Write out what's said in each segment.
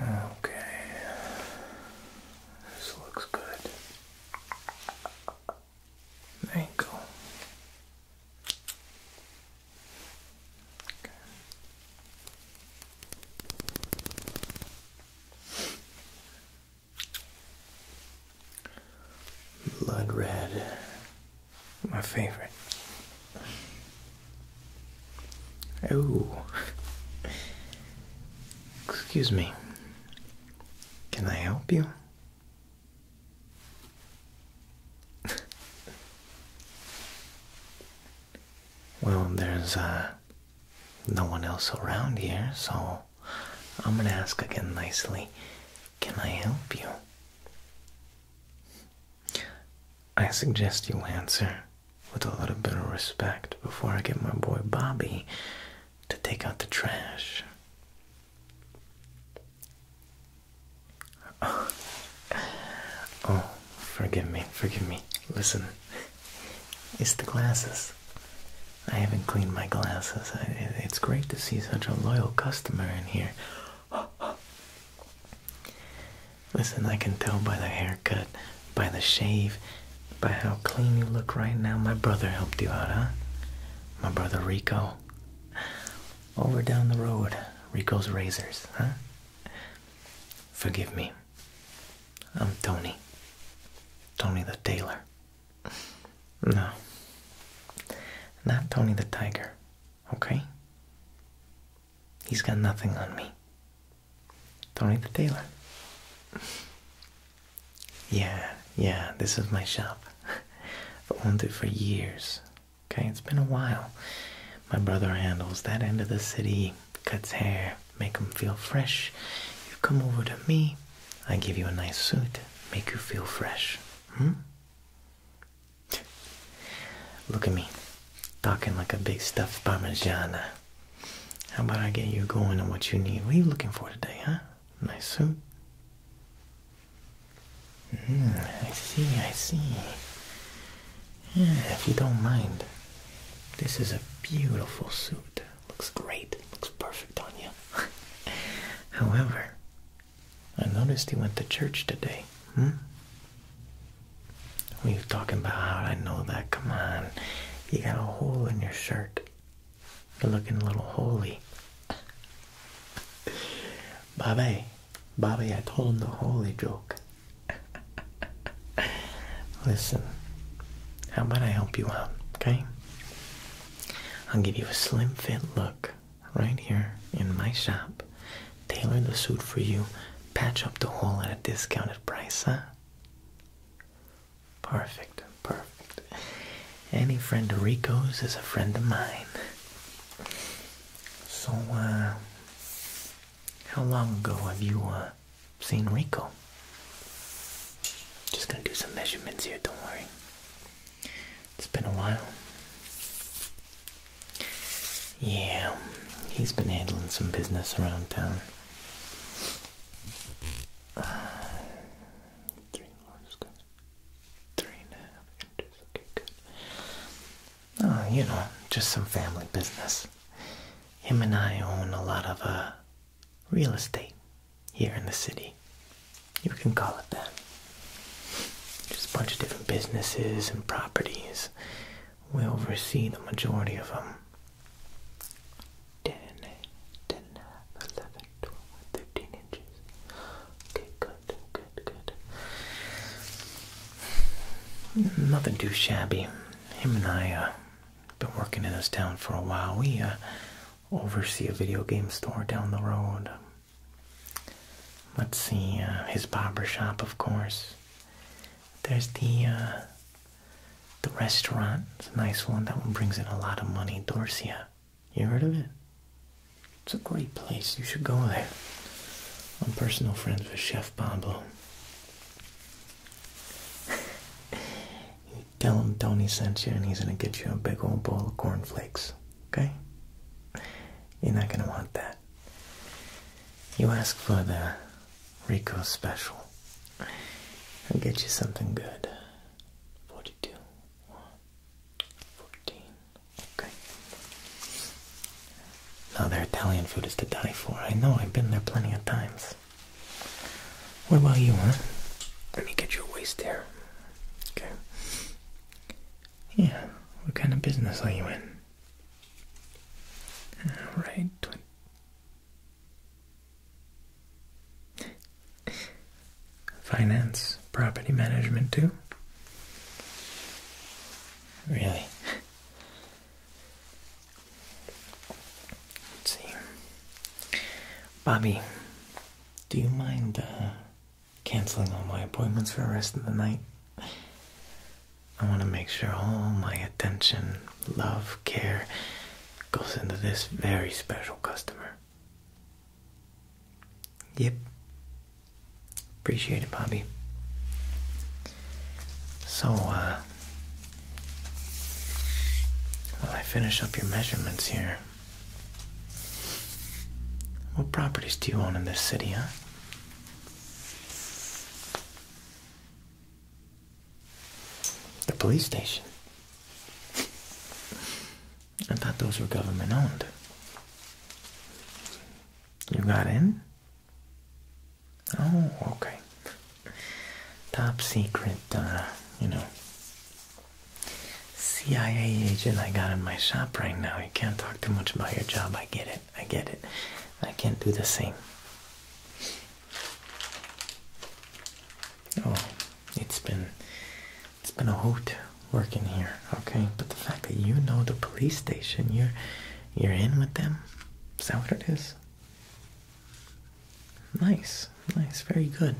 Okay, this looks good. There Okay. Blood red my favorite. Oh. Excuse me. Can I help you? well, there's uh, no one else around here, so I'm gonna ask again nicely. Can I help you? I suggest you answer with a little bit of respect before I get my boy Bobby to take out the trash. Oh, forgive me, forgive me. Listen, it's the glasses. I haven't cleaned my glasses. it's great to see such a loyal customer in here. Listen, I can tell by the haircut, by the shave, by how clean you look right now. My brother helped you out, huh? My brother Rico. Over down the road, Rico's Razors, huh? Forgive me. I'm Tony. Tony the tailor. No. Not Tony the tiger. Okay? He's got nothing on me. Don't need the tailor. yeah, yeah, this is my shop. I've owned it for years. Okay, it's been a while. My brother handles that end of the city, cuts hair, make him feel fresh. You come over to me, I give you a nice suit, make you feel fresh. Hmm? Look at me, talking like a big stuffed parmesan. How about I get you going on what you need? What are you looking for today, huh? Nice suit. Mm, I see, I see. if you don't mind, this is a beautiful suit. Looks great. Looks perfect on you. However, I noticed he went to church today. Hmm? What are you talking about? I know that. Come on. You got a hole in your shirt. You're looking a little holy. Bobby, Bobby, I told him the holy joke. Listen, how about I help you out, okay? I'll give you a slim fit look right here in my shop. Tailor the suit for you. Patch up the hole at a discounted price, huh? Perfect, perfect. Any friend of Rico's is a friend of mine. So, uh, how long ago have you, uh, seen Rico? Just gonna do some measurements here, don't worry. It's been a while. Yeah, he's been handling some business around town. Uh, three and a half inches. Okay, good. Oh, you know, just some family business. Him and I own a lot of uh, real estate here in the city. You can call it that. Just a bunch of different businesses and properties. We oversee the majority of them. 10, inches. Okay, good, good, good. Nothing too shabby. Him and I uh, been working in this town for a while. We uh, oversee a video game store down the road. Let's see, uh, his barber shop, of course. There's the uh, the restaurant. It's a nice one. That one brings in a lot of money. Dorsia. You heard of it? It's a great place. You should go there. I'm personal friend of Chef Pablo. Tell him Tony sent you and he's gonna get you a big old bowl of cornflakes. Okay? You're not going to want that. You ask for the Rico special. I'll get you something good. 42. 14. Okay. Now, their Italian food is to die for. I know, I've been there plenty of times. What about you, huh? Let me get your waist here. Go. Yeah, what kind of business are you in? Alright, Finance, property management too? Really? Let's see. Bobby, do you mind uh, canceling all my appointments for the rest of the night? I want to make sure all my attention, love, care goes into this very special customer. Yep. Appreciate it, Bobby. So, uh, while I finish up your measurements here, what properties do you own in this city, huh? The police station. I thought those were government owned. You got in? Oh, okay. Top secret, uh, you know, CIA agent I got in my shop right now. You can't talk too much about your job. I get it. I get it. I can't do the same. Oh, it's been it's been a hoot working here, okay? But the fact that you know the police station, you're you're in with them, is that what it is? Nice, nice, very good.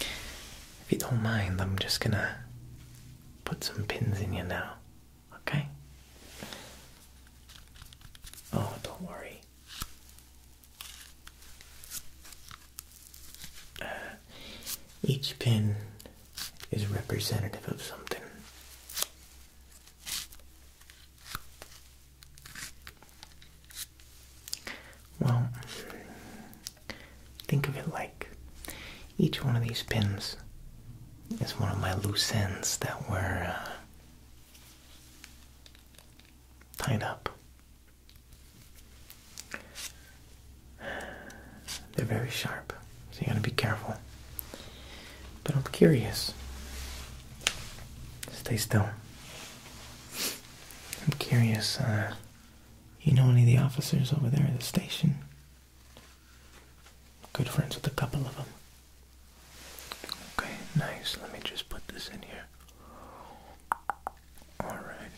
If you don't mind, I'm just gonna put some pins in you now, okay? Oh, don't worry. Uh, each pin is representative of something. Well, think of it like each one of these pins is one of my loose ends that were uh, tied up. They're very sharp, so you gotta be careful. But I'm curious. Stay still. I'm curious, uh, you know any of the officers over there at the station? Good friends with a couple of them. Okay, nice. Let me just put this in here. Alright.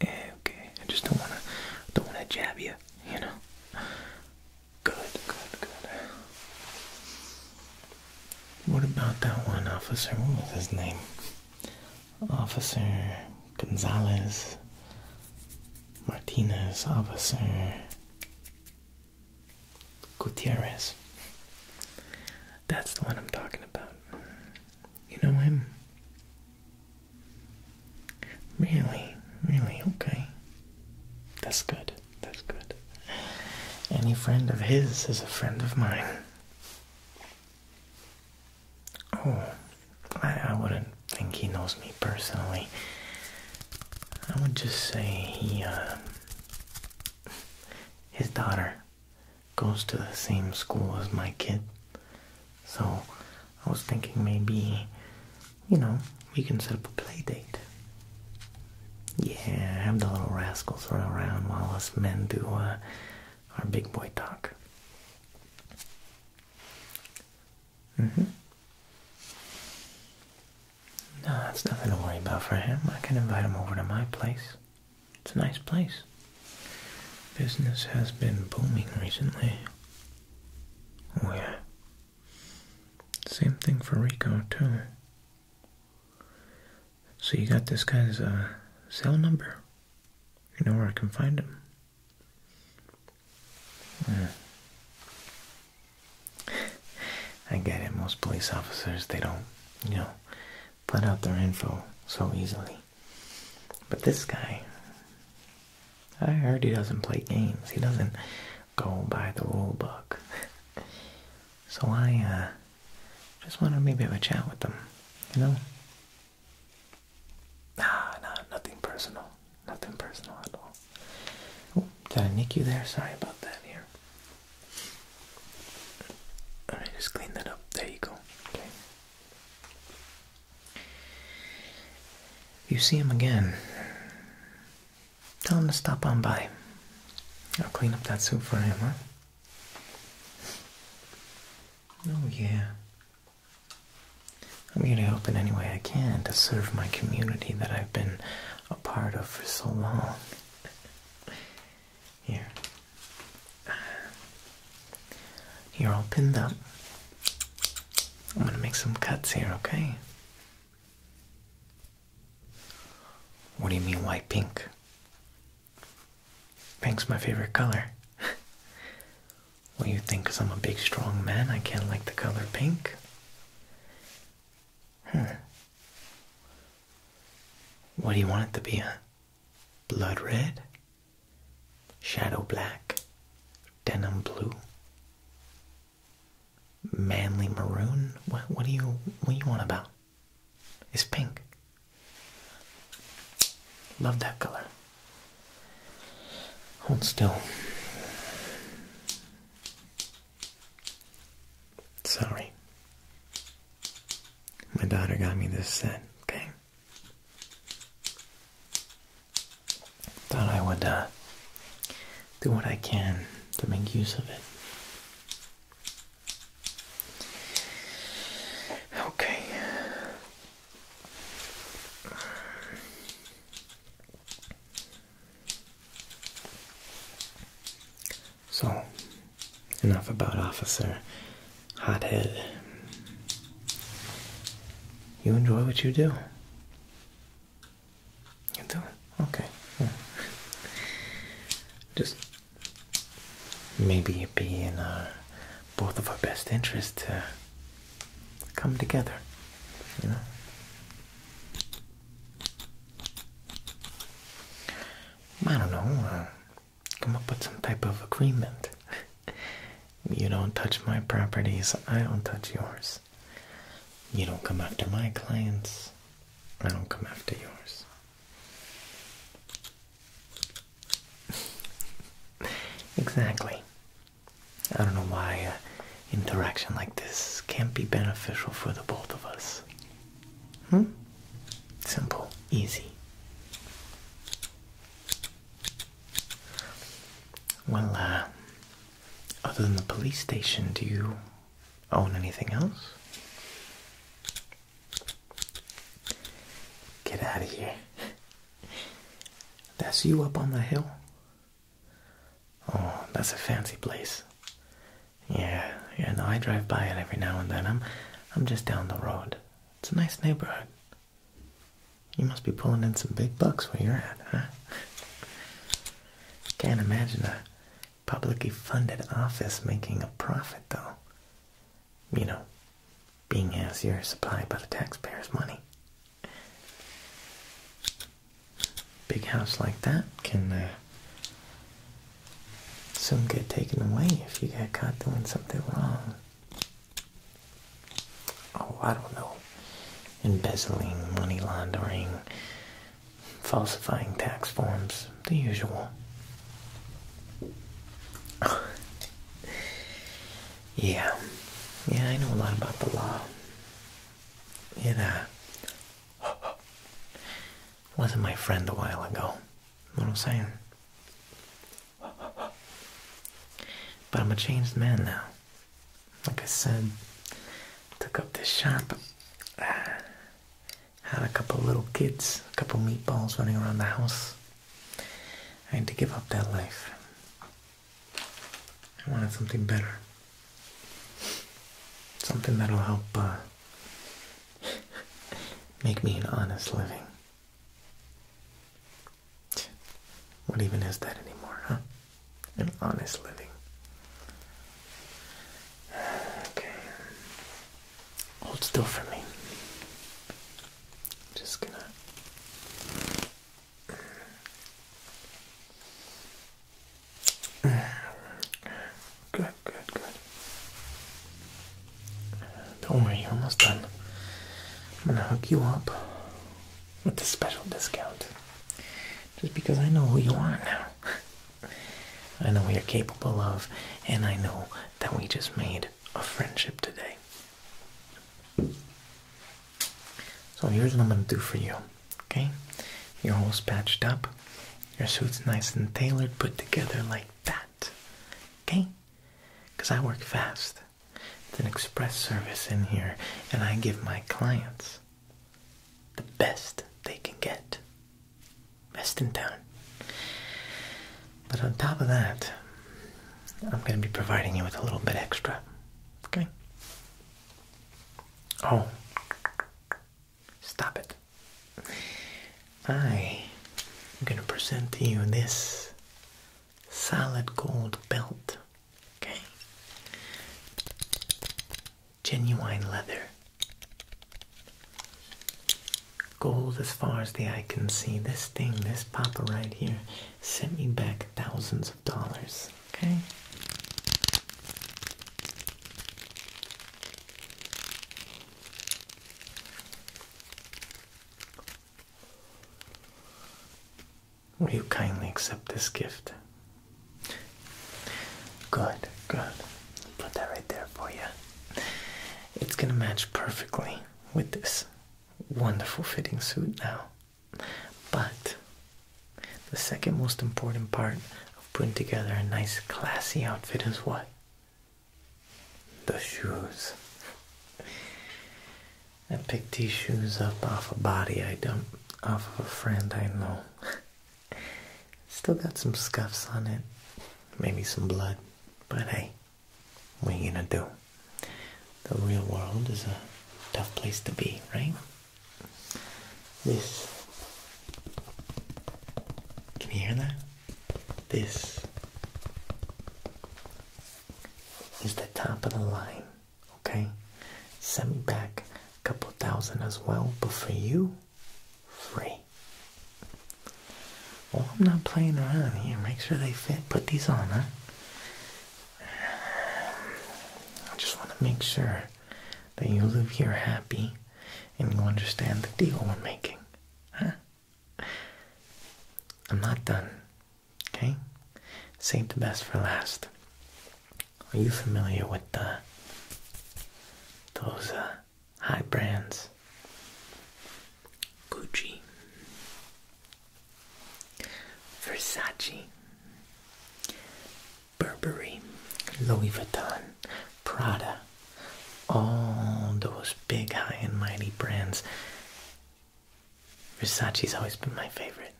Eh, okay, I just don't wanna, don't wanna jab you, you know? Good, good, good. What about that one officer? What was his name? Officer Gonzalez Martinez, Officer Gutierrez. That's the one I'm talking about. You know him? Really? Really? Okay. That's good. That's good. Any friend of his is a friend of mine. Oh, I, wouldn't think he knows me personally. I would just say he, uh, his daughter goes to the same school as my kid. So I was thinking maybe, you know, we can set up a play date yeah, have the little rascals run around while us men do uh, our big boy talk. Mm hmm No, that's nothing to worry about for him. I can invite him over to my place. It's a nice place. Business has been booming recently. Oh yeah. Same thing for Rico too. So you got this guy's uh, cell number. You know where I can find him. I get it. Most police officers, they don't, you know, put out their info so easily. But this guy, I heard he doesn't play games. He doesn't go by the rule book. So I uh, just wanted maybe have a chat with them, you know? Nah, nah, nothing personal. Nothing personal at all. did I nick you there? Sorry about that here. Alright, just clean that up. There you go. Okay. you see him again, Tell him to stop on by. I'll clean up that soup for him, Oh, yeah. I'm going to help in any way I can to serve my community that I've been a part of for so long. Here. You're all pinned up. I'm gonna make some cuts here, okay? What do you mean, why pink? Pink's my favorite color. What do you think because I'm a big, strong man, I can't like the color pink? Huh. What do you want it to be, huh? Blood red? Shadow black? Denim blue? manly maroon? What, what do you what you want about? It's pink. Love that color. Hold still. Sorry. My daughter got me this set, okay? Thought I would uh, do what I can to make use of it. Okay. So, enough about Officer Hothead. You enjoy what you do. You do it? Okay. Just maybe it would be in our, uh, both of our best interest to come together, you know? I don't know. Uh, come up with some type of agreement. you don't touch my properties, I don't touch yours. You don't come after my clients. I don't come after yours. exactly. I don't know why uh, interaction like this can't be beneficial for the both of us. Hmm? Simple, easy. Well, uh, other than the police station, do you own anything else. Get out of here. That's you up on the hill. Oh, that's a fancy place. Yeah, yeah, no, I drive by it every now and then. I'm I'm just down the road. It's a nice neighborhood. You must be pulling in some big bucks where you're at, huh? Can't imagine that publicly funded office making a profit, though. You know, being as you supply by the taxpayers' money. Big house like that can uh, soon get taken away if you get caught doing something wrong. Oh, I don't know. Embezzling, money laundering, falsifying tax forms, the usual. yeah, yeah, I know a lot about the law. Yeah, uh, wasn't my friend a while ago. what I'm saying? But I'm a changed man now like I said, took up this shop. Uh, had a couple little kids, a couple meatballs running around the house. I had to give up that life. I wanted something better. Something that'll help uh, make me an honest living. What even is that anymore, huh? and honest living. Okay. Hold still for me. Just gonna. Good, good, good. Don't worry, almost done. I'm gonna hook you up with a special discount. Just because I know who you are now. I know we are capable of, and I know that we just made a friendship today. So here's what I'm gonna do for you. Okay? Your hole's patched up. Your suit's nice and tailored, put together like that. Okay? Because I work fast. It's an express service in here, and I give my clients the best they can get. Best in town. But on top of that, I'm going to be providing you with a little bit extra. Okay? Oh. Stop it. I am going to present to you this solid gold belt Okay. Genuine leather. Gold as far as the eye can see. This thing, this papa right here, sent me back thousands of dollars. Okay. Will you kindly accept this gift? Good, good. Put that right there for you. It's gonna match perfectly with this wonderful fitting suit now. But the second most important part of putting together a nice classy outfit is what? The shoes. I picked these shoes up off a body I dumped off of a friend I know. Still got some scuffs on it, maybe some blood, but hey, what are you gonna do? The real world is a tough place to be, right? This. Can you hear that? This is the top of the line okay send me back a couple thousand as well but for you free well i'm not playing around here make sure they fit put these on huh i just want to make sure that you live here happy and you understand the deal we're making huh i'm not done Okay? Save the best for last. Are you familiar with the those uh, high brands? Gucci, Versace, Burberry, Louis Vuitton, Prada, all those big high and mighty brands Versace's always been my favorite.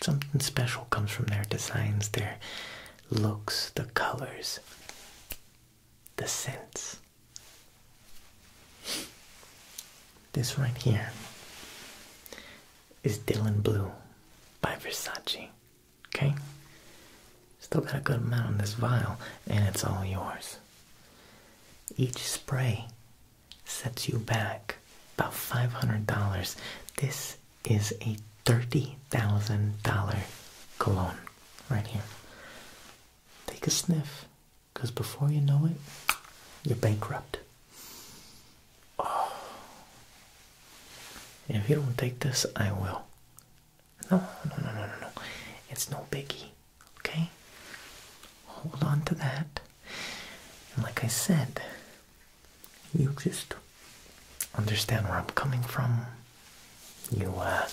Something special comes from their designs, their looks, the colors, the scents. This right here is Dylan Blue by Versace. Okay? Still got a good amount in this vial, and it's all yours. Each spray sets you back about $500. This is a $30,000 cologne right here. Take a sniff, because before you know it, you're bankrupt. Oh. And if you don't take this, I will. No, no, no, no, no, no. It's no biggie. Okay? Hold on to that. like I said, you just understand where I'm coming from. You uh,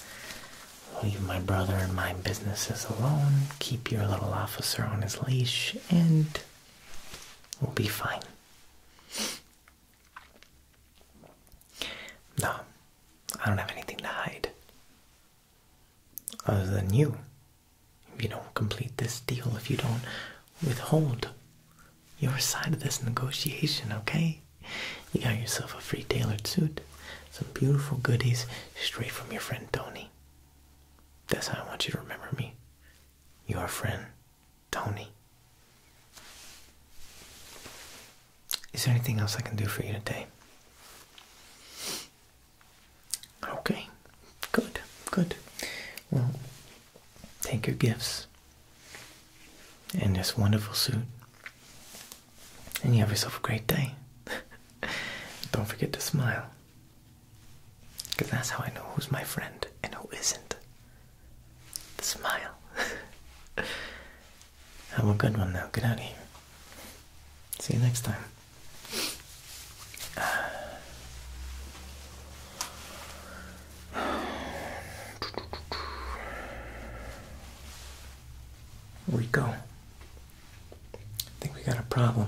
leave my brother and my businesses alone, keep your little officer on his leash, and we'll be fine. No, I don't have anything to hide. Other than you, you don't complete this deal, if you don't withhold your side of this negotiation, okay? You got yourself a free tailored suit, some beautiful goodies straight from your friend Tony. That's how I want you to remember me. Your friend, Tony. Is there anything else I can do for you today? Okay, good, good. Well, take your gifts and this wonderful suit, and you have yourself a great day. Don't forget to smile, because that's how I know who's my friend and who isn't. The smile. have a good one now. Get out of here. See you next time. Rico, I think we got a problem.